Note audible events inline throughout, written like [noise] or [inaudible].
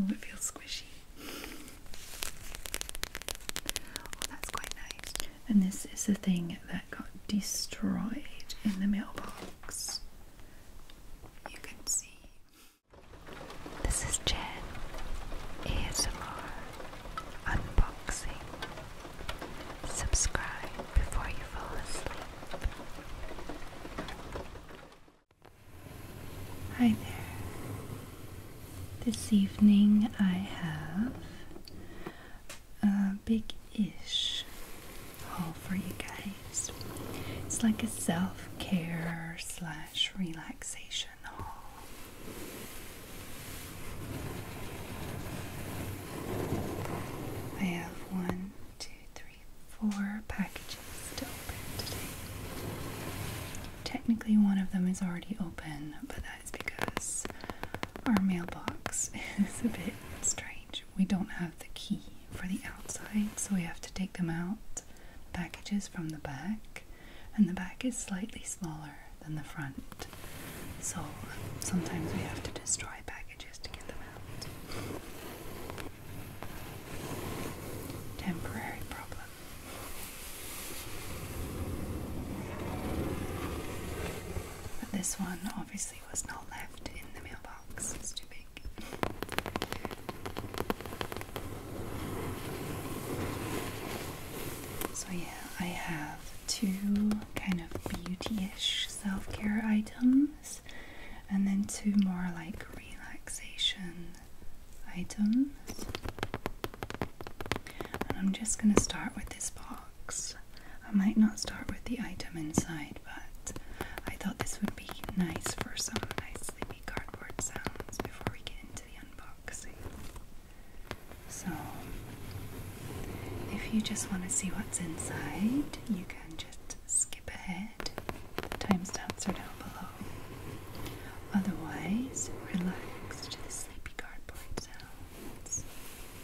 Oh, it feels squishy. Oh, that's quite nice. And this is the thing that got destroyed in the mailbox. This is Jen ASMR Unboxing. Subscribe before you fall asleep. Hi there. This evening I have a big-ish haul for you guys. It's like a self-care slash relaxation haul. I have one, two, three, four packages to open today. Technically, one of them is already open, but that is because our mailbox [laughs] is a bit strange. We don't have the key for the outside, so we have to take them out. Packages from the back, and the back is slightly smaller than the front, so sometimes we have to destroy packages to get them out. Temporary problem. But this one obviously was not left in the mailbox. So, yeah, I have two kind of beauty ish self care items, and then two more like relaxation items. I'm just gonna start with this box. I might not start with the item inside, but I thought this would be nice for some nice sleepy cardboard sounds before we get into the unboxing. So, if you just want to see what's inside, you can just skip ahead. The timestamps are down below. Otherwise, relax to the sleepy cardboard sounds.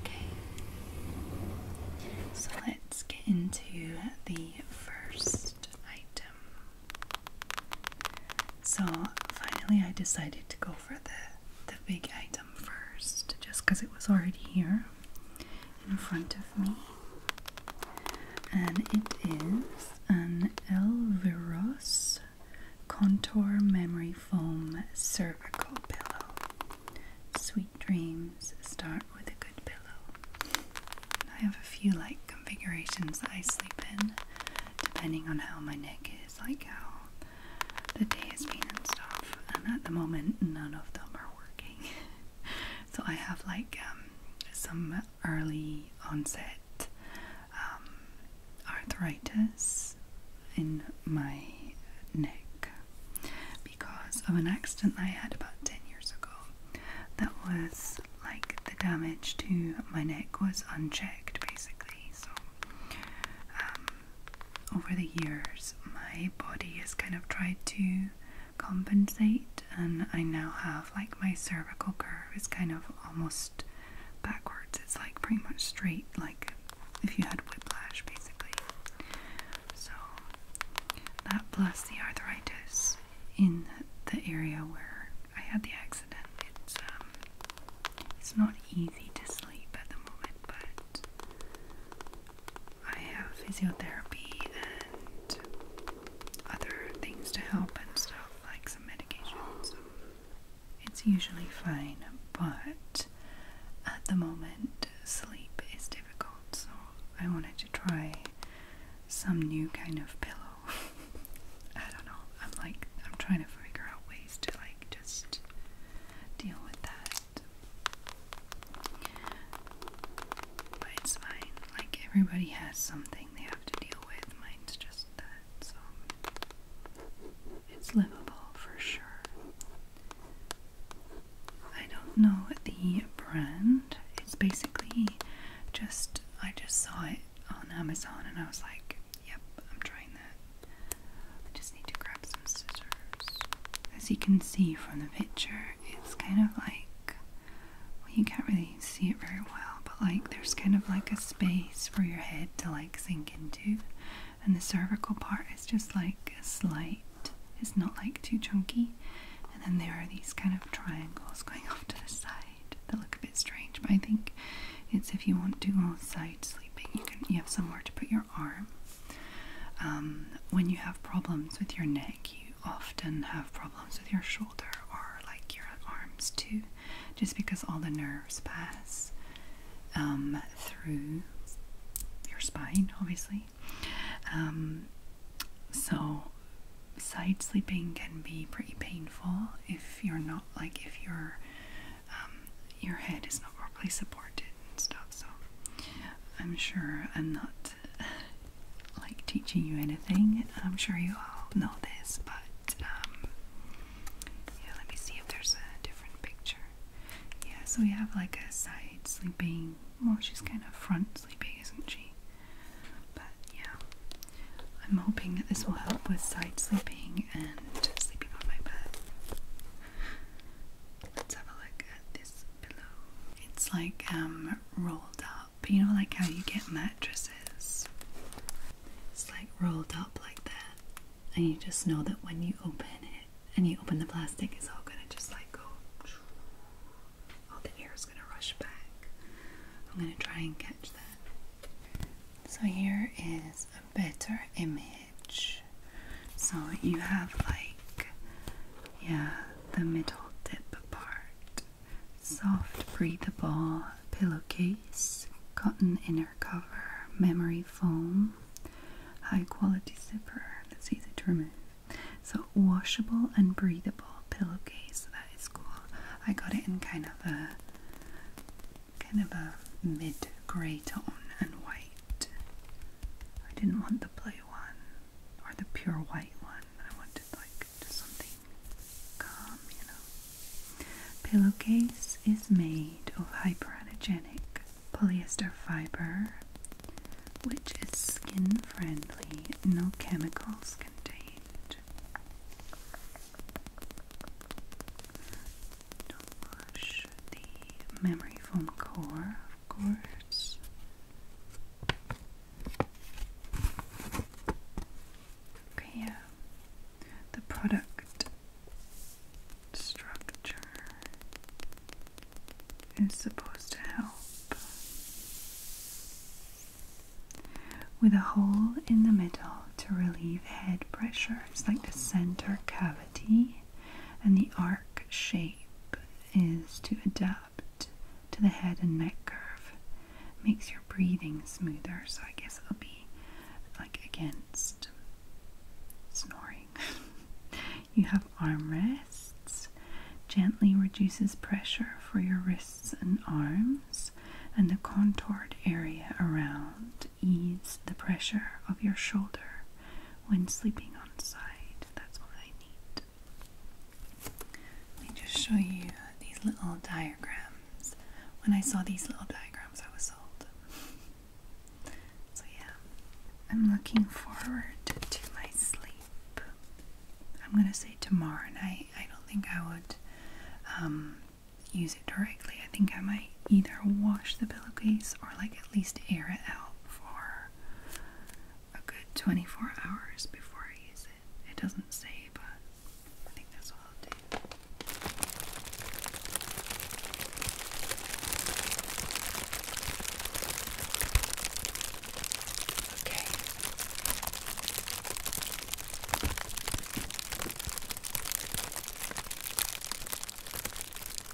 Okay, so let's get into the first item. So finally, I decided to go for the the big item first, just because it was already here in front of me, and it is an Elviros contour memory foam cervical pillow. Sweet dreams start with a good pillow. I have a few like configurations that I sleep in, depending on how my neck is, like how the day has been and stuff. And at the moment, none of them are working. [laughs] so I have like um, some early onset um, arthritis in my neck because of an accident I had about 10 years ago. That was like the damage to my neck was unchecked basically. So, um, over the years, my body has kind of tried to compensate, and I now have like my cervical curve is kind of almost backwards, it's like pretty much straight, like if you had whiplash, basically. So that plus the arthritis in the area where I had the accident, it's um, it's not easy to sleep at the moment, but I have physiotherapy and other things to help and stuff like some medications it's usually fine, but at the moment, sleep is difficult, so I wanted to try some new kind of pillow. [laughs] I don't know, I'm like, I'm trying to figure out ways to, like, just deal with that. But it's fine, like, everybody has something they have to deal with, mine's just that, so it's livable for sure. I don't know the brand. It's basically just I just saw it on Amazon and I was like, yep, I'm trying that. I just need to grab some scissors. As you can see from the picture, it's kind of like well, you can't really see it very well, but like there's kind of like a space for your head to like sink into and the cervical part is just like a slight, it's not like too chunky. And then there are these kind of triangles going off to the side that look a bit strange, but I think it's if you want to go side sleeping, you can you have somewhere to put your arm. Um, when you have problems with your neck, you often have problems with your shoulder or like your arms too, just because all the nerves pass um, through your spine, obviously. Um, so, side sleeping can be pretty painful if you're not like if your um, your head is not properly supported and stuff. So, I'm sure I'm not [laughs] like teaching you anything. I'm sure you all know this, but um, yeah. Let me see if there's a different picture. Yeah, so we have like a side sleeping. Well, she's kind of front sleeping, isn't she? But yeah, I'm hoping that this will help with side sleeping and sleeping on my bed. Let's have a look at this pillow. It's like um rolled up. You know, like how you get mattresses. It's like rolled up like that and you just know that when you open it and you open the plastic, it's all gonna just like go. All the air is gonna rush back. I'm gonna try and catch that. So here is a better image. So you have like, yeah, the middle dip apart, soft, breathable pillowcase, cotton inner cover, memory foam, high quality zipper. That's easy to remove. So washable and breathable pillowcase. That is cool. I got it in kind of a kind of a mid grey tone and white. I didn't want the blue one or the pure white one. I wanted like something calm, you know. Pillowcase is made of hypoallergenic polyester fiber, which is skin friendly, no chemicals contained. Don't wash the memory foam core, of course. Okay, yeah. The product structure is supposed to help. With a hole in the middle to relieve head pressure. It's like the center cavity, and the arc shape is to adapt to the head and neck curve. Makes your breathing smoother, so I guess it'll be like against snoring. [laughs] You have armrests, gently reduces pressure for your wrists and arms, and the contoured area around eases the pressure of your shoulder when sleeping on side. That's what I need. Let me just show you these little diagrams. When I saw these little diagrams, I was sold. [laughs] So, yeah, I'm looking forward to my sleep. I'm gonna say tomorrow and I don't think I would um, use it directly. I think I might either wash the pillowcase or, like, at least air it out for a good 24 hours before I use it. It doesn't say, but I think that's what I'll do.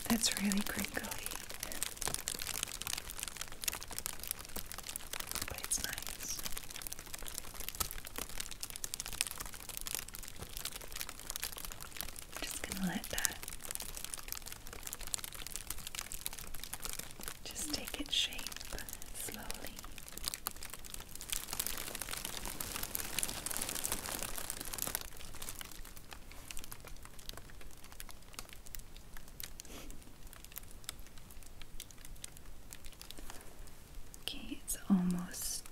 That's really crinkly. But it's nice just gonna let that just take its shape slowly. Okay, it's almost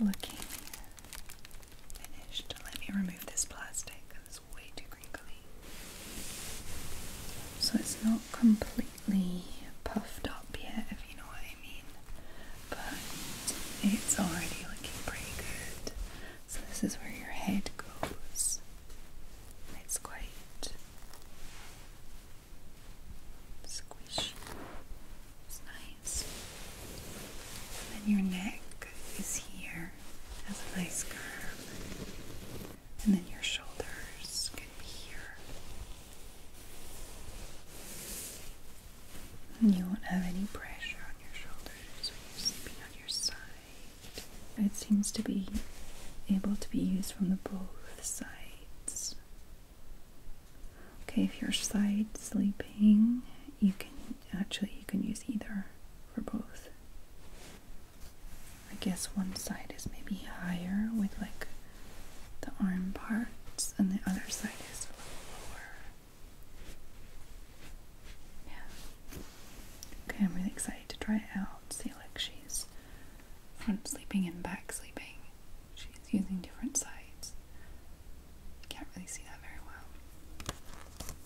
looking finished. Let me remove this plastic it's way too crinkly. So it's not completely puffed up yet, if you know what I mean, but it's already looking pretty good. So this is where your head goes. It's quite squishy. It's nice. And your neck is here, has a nice curve. And then your shoulders can be here. you won't have any pressure on your shoulders when you're sleeping on your side. It seems to be able to be used from the both sides. Okay, if you're side sleeping, you can actually you can use either for both. I guess one side is maybe higher with like the arm parts and the other side is a little lower. Yeah. Okay, I'm really excited to try it out. See like she's front sleeping and back sleeping she's using different sides. Can't really see that very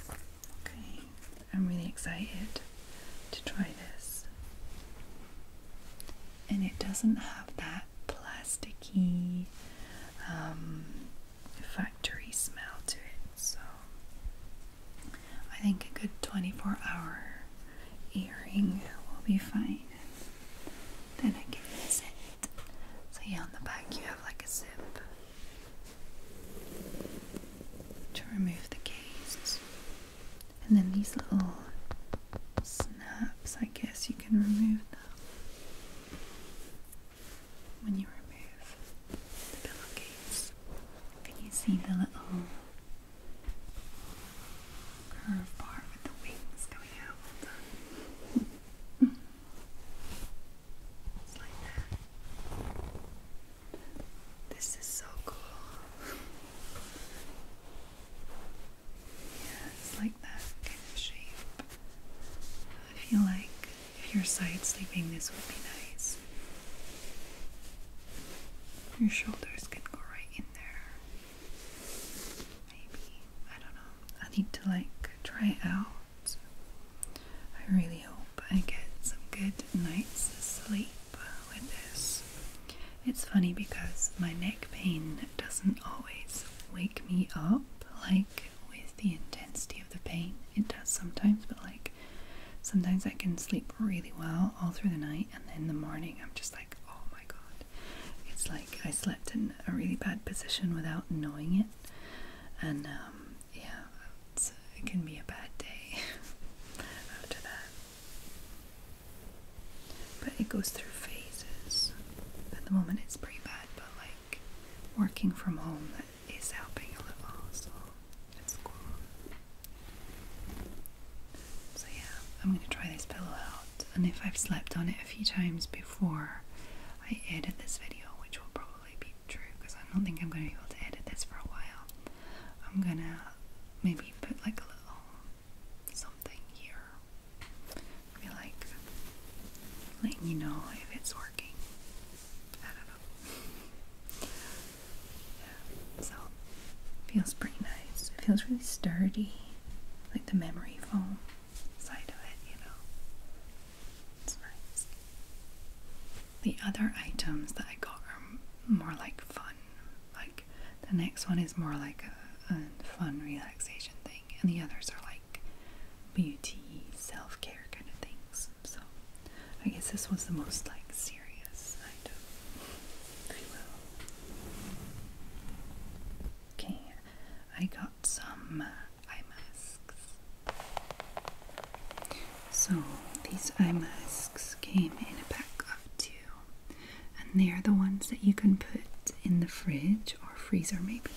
well. Okay, I'm really excited to try this. And it doesn't have that plasticky um, factory smell to it, so I think a good 24 hour earring will be fine and then I can use it. So yeah, on the back you have like a zip to remove the case. And then these little snaps, I guess you can remove them when you remove the pillowcase. Can you see the little curved part with the wings coming out all done. Just like that. This is so cool. yeah, it's like that shape. I feel like if you're side sleeping, this would be nice. Your shoulders can go right in there. Maybe. I don't know. I need to like try it out. I really hope I get some good night's sleep with this. It's funny because my neck pain doesn't always wake me up like with the intensity of the pain. It does sometimes, but like sometimes I can sleep really well all through the night and then in the morning I'm just like, oh my my god. It's like I slept in a really bad position without knowing it. And um, yeah, it can be a bad day [laughs] after that. But it goes through phases. At the moment, it's pretty bad, but like working from home that is helping a little, so it's cool. So yeah, I'm going to try this pillow out. And if I've slept on it a few times before I edit this video, which will probably be true because I don't think I'm going to be able to edit this for a while, I'm going to maybe put like a little something here. Be like letting you know if it's working. so feels pretty nice. It feels really sturdy, like the memory foam side of it, you know. It's nice. The other items that I got are more like fun. Like the next one is more like a, fun relaxation thing, and the others are like beauty, self care kind of things. So I guess this was the most like serious item, Okay, I got some eye masks. So these eye masks came in a pack of two, and they are the ones that you can put in the fridge or freezer, maybe.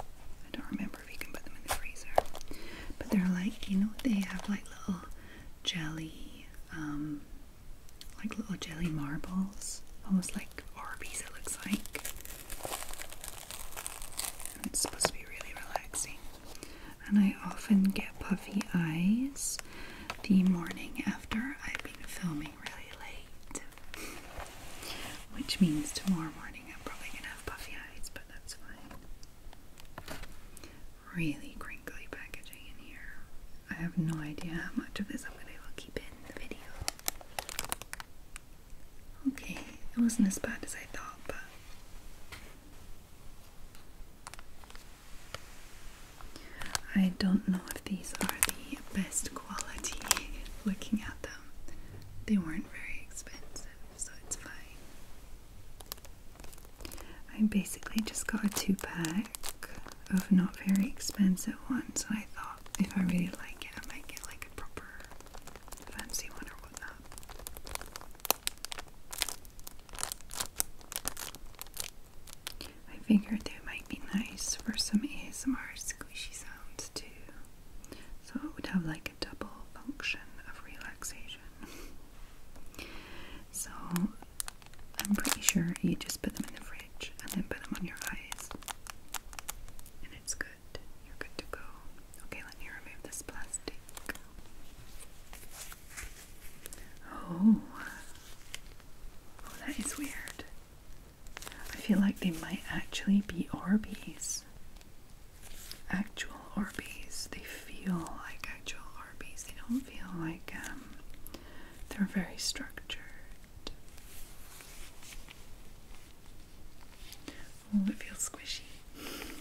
I don't remember if you can put them in the freezer, but they're like you know they have like little jelly, um, like little jelly marbles, almost like Arby's it looks like. it's supposed to be really relaxing. And I often get puffy eyes the morning after I've been filming really late. Which means tomorrow morning I'm probably gonna have puffy eyes, but that's fine. Really crinkly packaging in here. I have no idea how much of this I'm gonna be able to keep in the video. Okay, it wasn't as bad as I thought, but. I don't know if these are the best quality [laughs] looking at them. They weren't very expensive, so it's fine. I basically just got a two pack of not very expensive ones. I thought if I really like it, I might get like a proper fancy one or whatnot. I figured they might be nice for some ASMR squishy sounds too. So it would have like a double function of relaxation. [laughs] so I'm pretty sure you just put them in the fridge and then put them on your eyes. And it's good. You're good to go. Okay, let me remove this plastic. Oh, oh that is weird. I feel like they might actually be Orbeez. Actual Orbeez. They feel like actual Orbeez. They don't feel like um they're very structured. Oh, it feels squishy. Oh,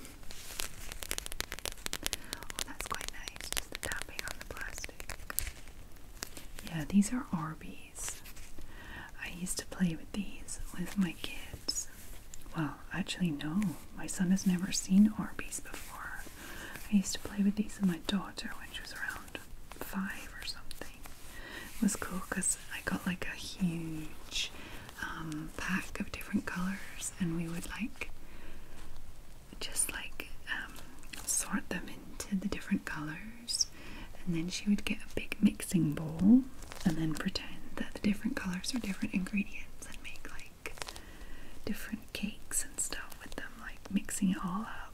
that's quite nice, just tapping on the plastic. Yeah, these are Arby's. I used to play with these with my kids. Well, actually, no, my son has never seen Arby's before. I used to play with these with my daughter when she was around five or something was cool because I got like a huge um, pack of different colors, and we would like just like um, sort them into the different colors, and then she would get a big mixing bowl and then pretend that the different colors are different ingredients and make like different cakes and stuff with them, like mixing it all up.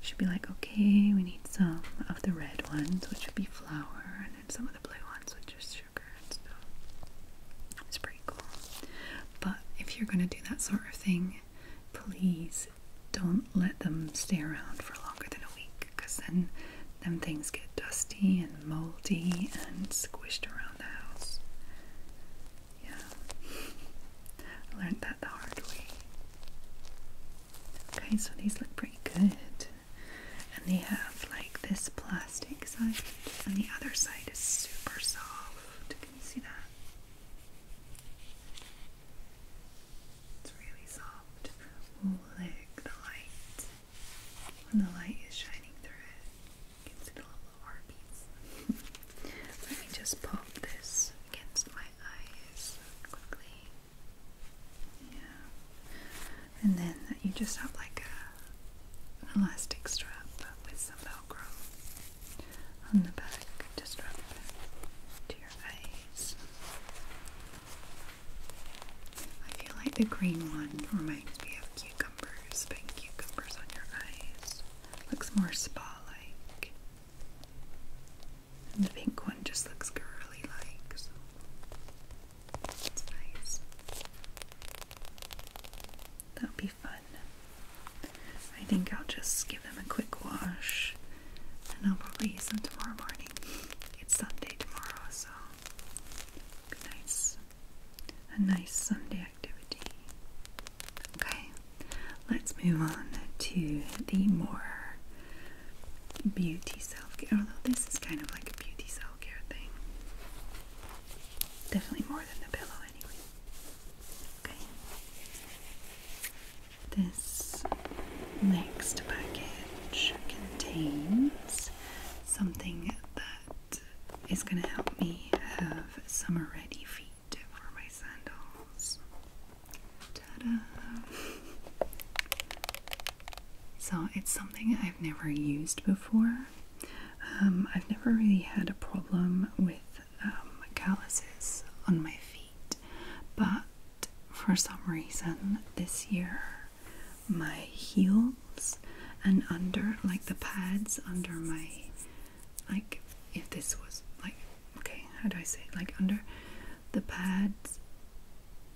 She'd be like, okay, we need some of the red ones, which would be flour, and then some of the blue ones, which is sugar and stuff. It's pretty cool. But if you're going to do that sort of thing, please don't let them stay around for longer than a week because then them things get dusty and moldy and squished around the house. Yeah. [laughs] learned that the hard way. Okay, so these look pretty good. And they have like this plastic side, and the other side is super soft. Can you see that? It's really soft. look, the light. When the light is shining through it, you can see the little heartbeats. [laughs] Let me just pop this against my eyes quickly. Yeah. And then you just have like a, an elastic strap with some velcro on the back to strap to your eyes. I feel like the green one reminds me of cucumbers, but cucumbers on your eyes. Looks more spa like. And the pink one just looks girly like, so it's nice. That'll be fun. I think I'll just give them a quick wash and I'll probably use them tomorrow morning. It's Sunday tomorrow, so nice. A nice Sunday activity. Okay, let's move on to the more beauty self-care, although this is kind of like a beauty self-care thing. Definitely more than the pillow anyway. Okay. This next package contains something that is going to help me have summer ready feet for my sandals. So it's something I've never used before. Um, I've never really had a problem with um, calluses on my feet, but for some reason this year my heels and under like the pads under my like if this was like okay how do I say like under the pads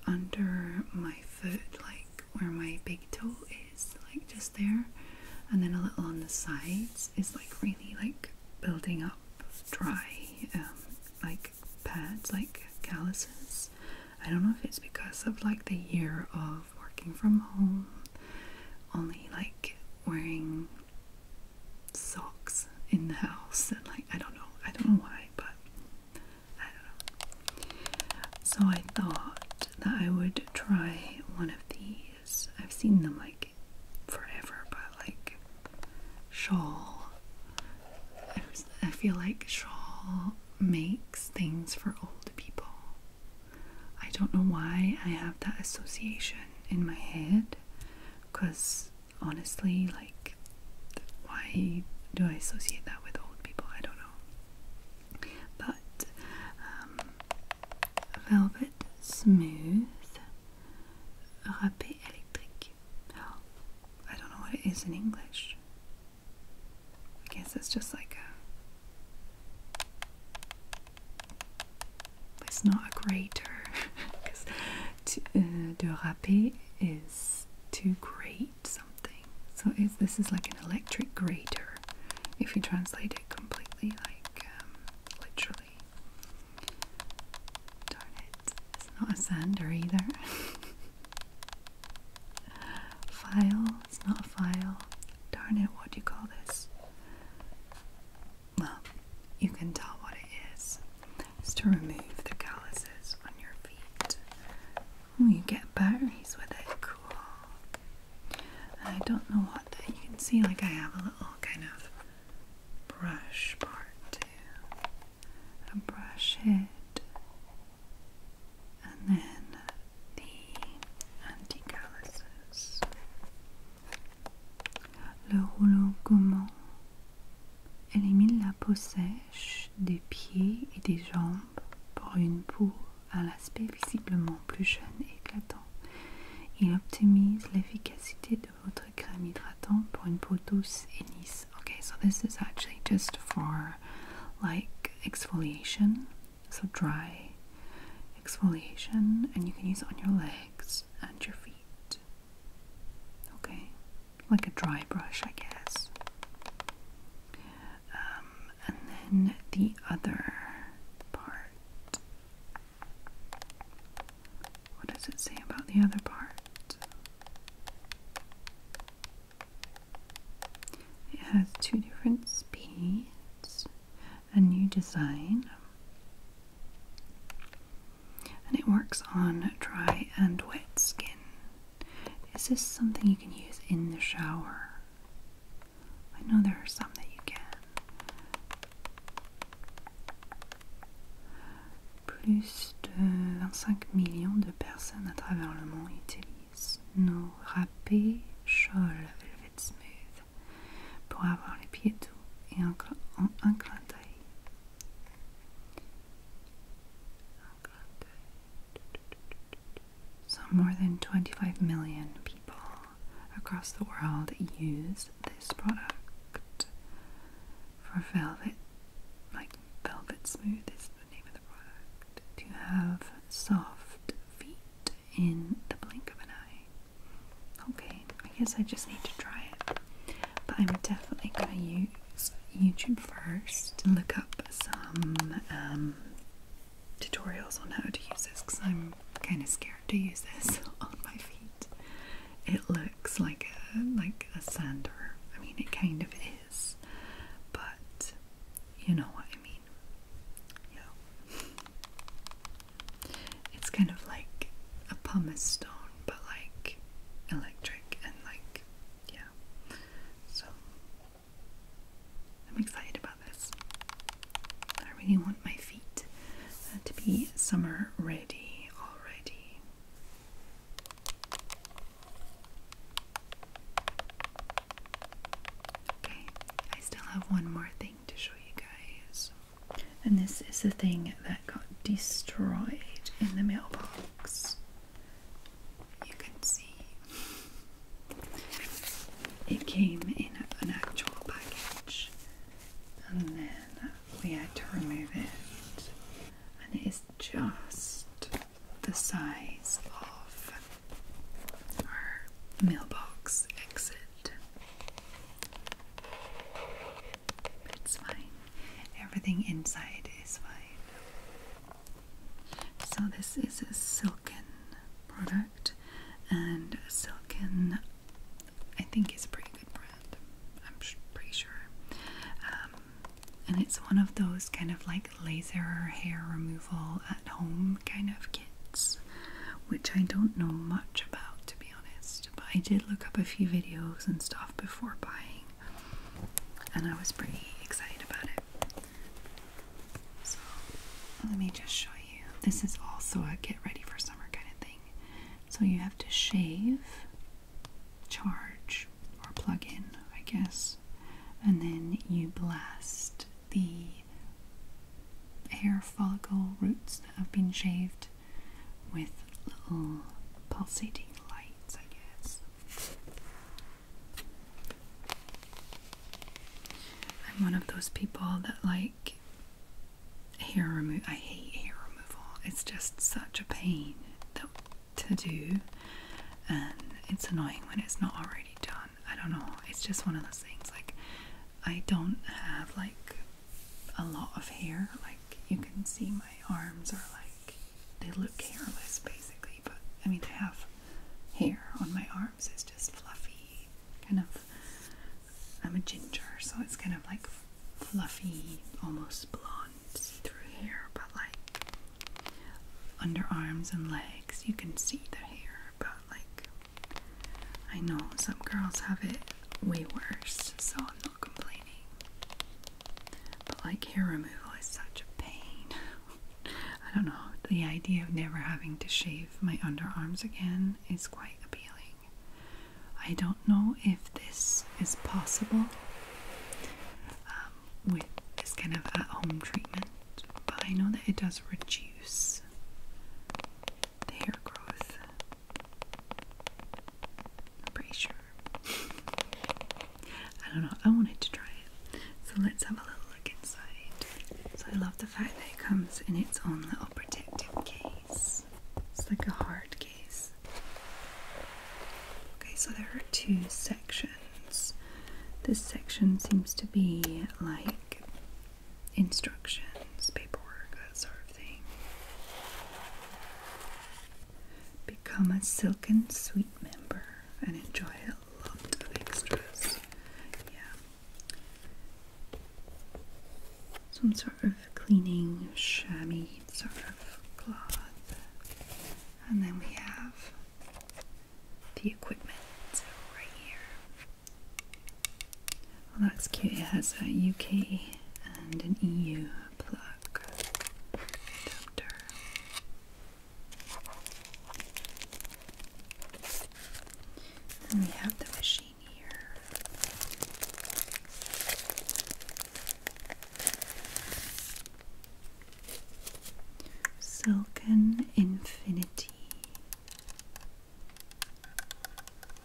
under my foot, like where my big toe is, like just there, and then a little on the sides is like really like building up dry, um, like pads, like calluses. I don't know if it's because of like the year of working from home, only like wearing socks in the house and like I don't know I don't know why but I don't know so I thought that I would try one of these I've seen them like forever but like shawl I, feel like shawl makes things for old people I don't know why I have that association in my head because honestly, like, why do I associate that with old people? I don't know. But um, velvet smooth râpé électrique. I don't know what it is in English. I guess it's just like a. It's not a grater because [laughs] to, uh, Durape is to grate something. So this is like an electric grater, if you translate it completely, like um, literally. Darn it, it's not a sander either. [laughs] file, it's not a file. Darn it, what do you call this? Well, you can tell what it is. It's to remove the calluses on your feet. Oh, you get berries with it. Cool. I don't know what that. You can see, like I have a little kind of brush part too. A brush head. And then the anti-calluses. Le rouleau gommant. Élimine la peau sèche des pieds et des jambes pour une peau à l'aspect visiblement plus jeune et éclatant. Il optimise l'efficacité de votre crème hydratante pour une peau douce et lisse. Okay, so this is actually just for like exfoliation, so dry exfoliation, and you can use it on your legs and your feet. Okay, like a dry brush, I guess. Um, and then the other part. What does it say about the other part? It has two different speeds, a new design and it works on dry and wet skin. Is this something you can use in the shower? I know there are some that you can. Plus de personnes à travers le monde utilisent nos râpés Scholl Velvet Smooth pour avoir les pieds doux et un, un, un clin d'œil. So, more than 25 million people across the world use this product for velvet. Like Velvet Smooth is the name of the product. To have soft feet in the blink of an eye. Okay, I guess I just need to try it but I'm definitely going to use YouTube first and look up some um, tutorials on how to use this because I'm kind of scared to use this [laughs] on my feet. It looks like a like a sander. I mean, it kind of is, but you know what I mean. Yeah, it's kind of like a pumice stone, but like electric and like yeah. So, I'm excited about this. I really want my feet uh, to be summer ready already. Okay, I still have one more thing to show you guys. And this is the thing that that got destroyed in the mailbox. You can see it came in an actual package, and then we had to remove it, and it is just the size of our mailbox exit. It's fine. Everything inside is fine. So, this is a silken product, and silken, I think, is a pretty good brand. I'm pretty sure. Um, and it's one of those kind of like laser hair removal at home kind of kits, which I don't know much about to be honest. But I did look up a few videos and stuff before buying, and I was pretty excited about it. So let me just show you. This is also a get ready for summer kind of thing. So you have to shave, charge, or plug in, I guess, and then you blast the hair follicle roots that have been shaved with little pulsating light. I guess. I'm one of those people that like hair removal. I hate hair removal. It's just such a pain to do, and it's annoying when it's not already done. I don't know. It's just one of those things. Like I don't have like a lot of hair. Like you can see my arms are like they look hairless basically, but I mean I have hair on my arms. It's just fluffy, kind of. I'm a ginger, so it's kind of like fluffy, almost blonde, through hair, but like underarms and legs, you can see the hair. But like, I know some girls have it way worse, so I'm not complaining. But like hair removal is such a pain. [laughs] I don't know. The idea of never having to shave my underarms again is quite appealing. I don't know if this is possible um, with this kind of at home treatment, but I know that it does reduce the hair growth. I'm pretty sure. I don't know. I wanted to try it. So let's have a little look inside. So I love the fact that it comes in its own little protective case. It's like a hard case. Okay, so there are two sections. This section seems to be like instructions, paperwork, that sort of thing. Become a Silken Sweet member and enjoy a lot of extras. Yeah. Some sort of cleaning chamois sort of cloth. And then we have the equipment right here. Well, that's cute. It has a UK and an EU pluck adapter. we have the machine here. Silken Infinity.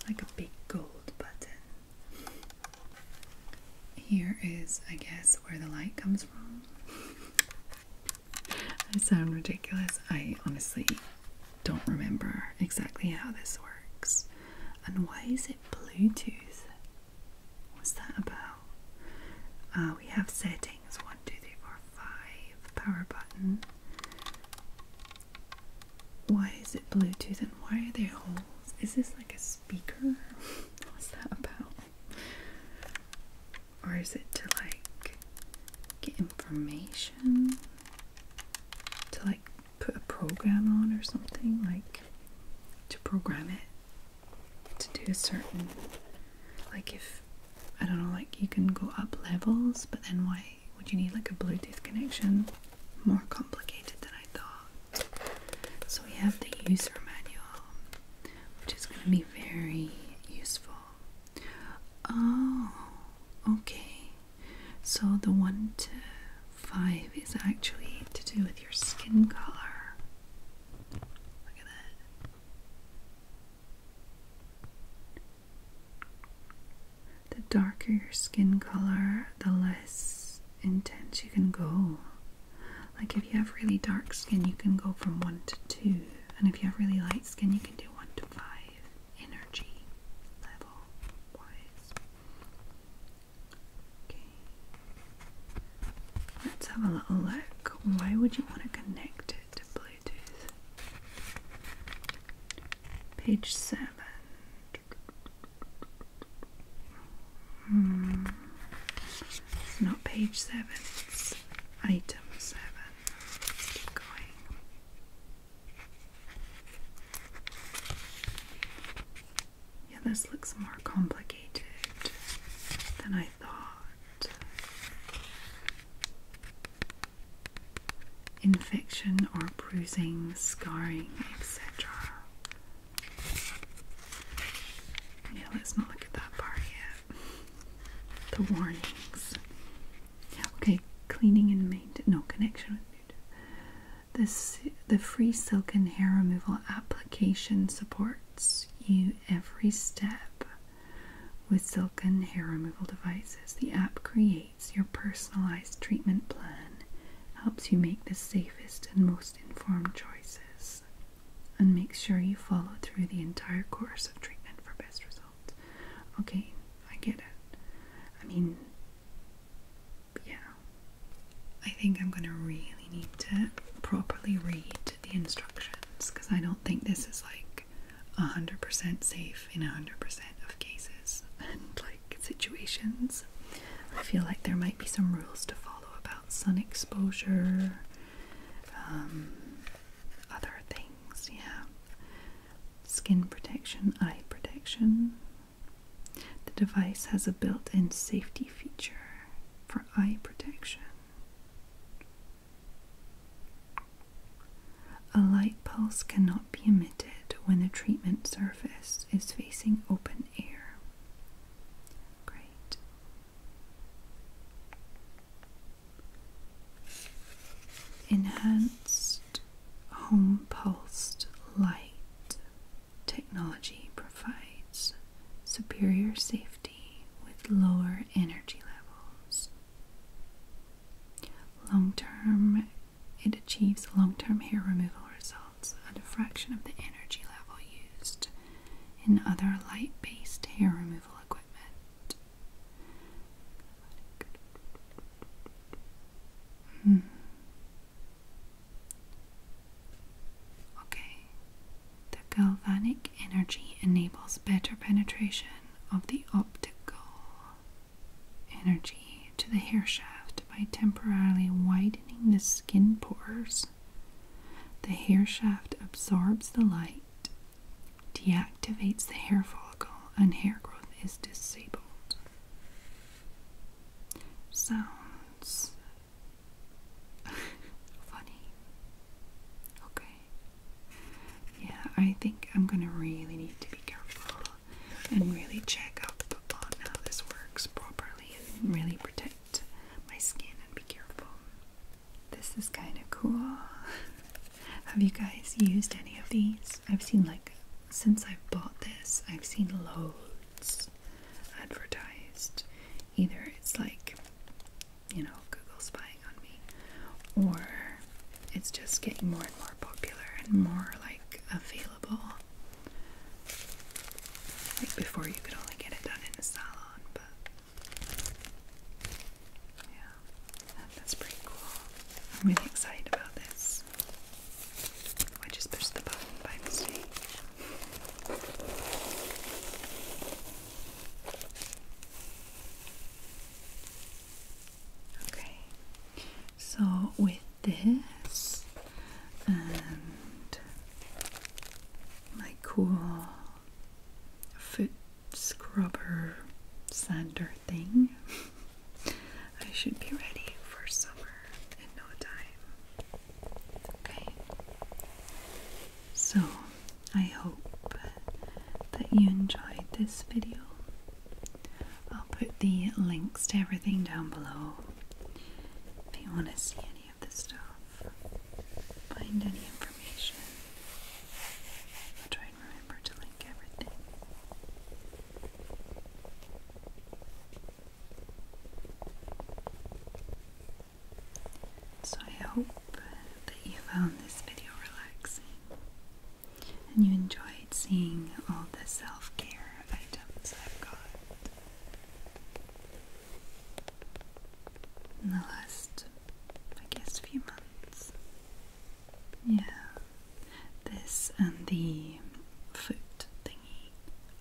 Like a big gold button. Here is, I guess, where the light comes from. I sound ridiculous. I honestly don't remember exactly how this works. And why is it Bluetooth? What's that about? Uh, we have settings 1, power button. Why is it Bluetooth and why are there holes? Is this like a speaker? What's that about? Or is it to like get information? To like put a program on or something? Like to program it to do a certain. Like if. I don't know, like you can go up levels, but then why would you need like a Bluetooth connection? More complicated than so we have the user manual, which is going to be very useful. Oh, okay. So the 1 to 5 is actually to do with your skin color. Look at that. The darker your skin color, the less intense you can go. Like if you have really dark skin, you can go from one to two, and if you have really light skin, you can do one to five energy level wise. Okay, let's have a little look. Why would you want to connect it to Bluetooth? Page seven. Hmm. not page seven, it's item 7 Yeah, this looks more complicated than I thought. Infection or bruising, scarring, etc. Yeah, let's not look at that part yet. The warnings. Okay, cleaning and maintenance. No connection with food. This the free silk and hair removal application supports you every step with silk and hair removal devices. The app creates your personalized treatment plan, helps you make the safest and most informed choices and make sure you follow through the entire course of treatment for best results. Okay, I get it. I mean, yeah. I think I'm gonna really need to properly read the instructions because I don't think this is like 100% safe in 100% of cases [laughs] and like situations. I feel like there might be some rules to follow follow about sun exposure, um, other things, yeah. Skin protection, eye protection. The device has a built in safety feature for eye protection. A light pulse cannot be emitted when the treatment surface is facing open air. Great. Enhanced home pulsed light technology provides superior safety with lower energy levels. Long term, it achieves long term hair removal results a fraction of the energy level used in other light based hair removal equipment. Hmm. Okay. The galvanic energy enables better penetration of the optical energy to the hair shaft by temporarily widening the skin pores the hair shaft absorbs the light, deactivates the hair follicle, and hair growth is disabled. Sounds [laughs] funny. Okay. Yeah, I think I'm gonna really need to be careful and really check up on how this works properly and really protect my skin and be careful. This is kind of cool. [laughs] Have you guys used any of these? I've seen like since I bought this, I've seen loads advertised. Either it's like, you know, Google spying on me, or it's just getting more and more popular and more like available. Like before, you could only get it done in a salon, but yeah, that's pretty cool. I'm really excited about this. I just pushed the button by mistake. Okay, so with this and my cool foot scrubber sander thing. [laughs] I should be ready for summer in no time. Okay. So, I hope that you enjoyed this video. I'll put the links to everything down below if you want to see any the stuff, find any information. I'll try and remember to link everything. So I hope that you found this video relaxing and you enjoyed seeing all the self-care items I've got in the last, I guess, few months. Yeah, this and the foot thingy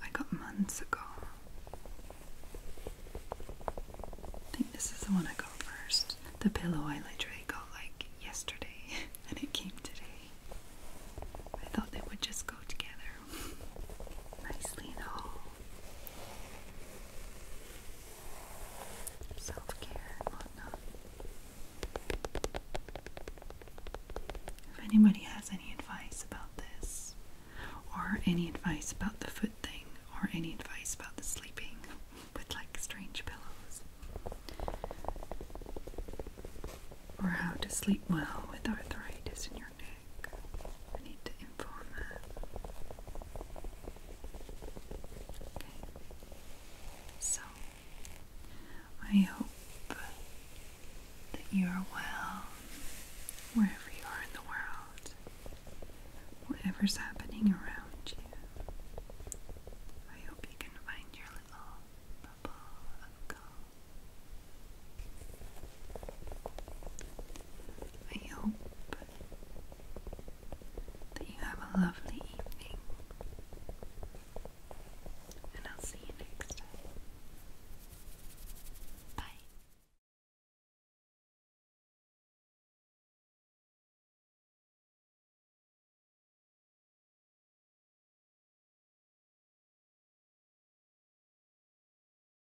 I got months ago. I think this is the one I got first. The pillow I literally got like yesterday [laughs] and it came today. I thought they would just go together nicely and all. Self care and whatnot. If anybody has any advice about this, or any advice about the foot thing, or any advice about the sleeping with like strange pillows, or how to sleep well with arthritis in your knee. I need to inform her. Okay. So, I hope that you are well wherever you are in the world, whatever's happening around you. I hope you can find your little bubble of calm. I hope that you have a lovely evening, and I'll see you next time. Bye.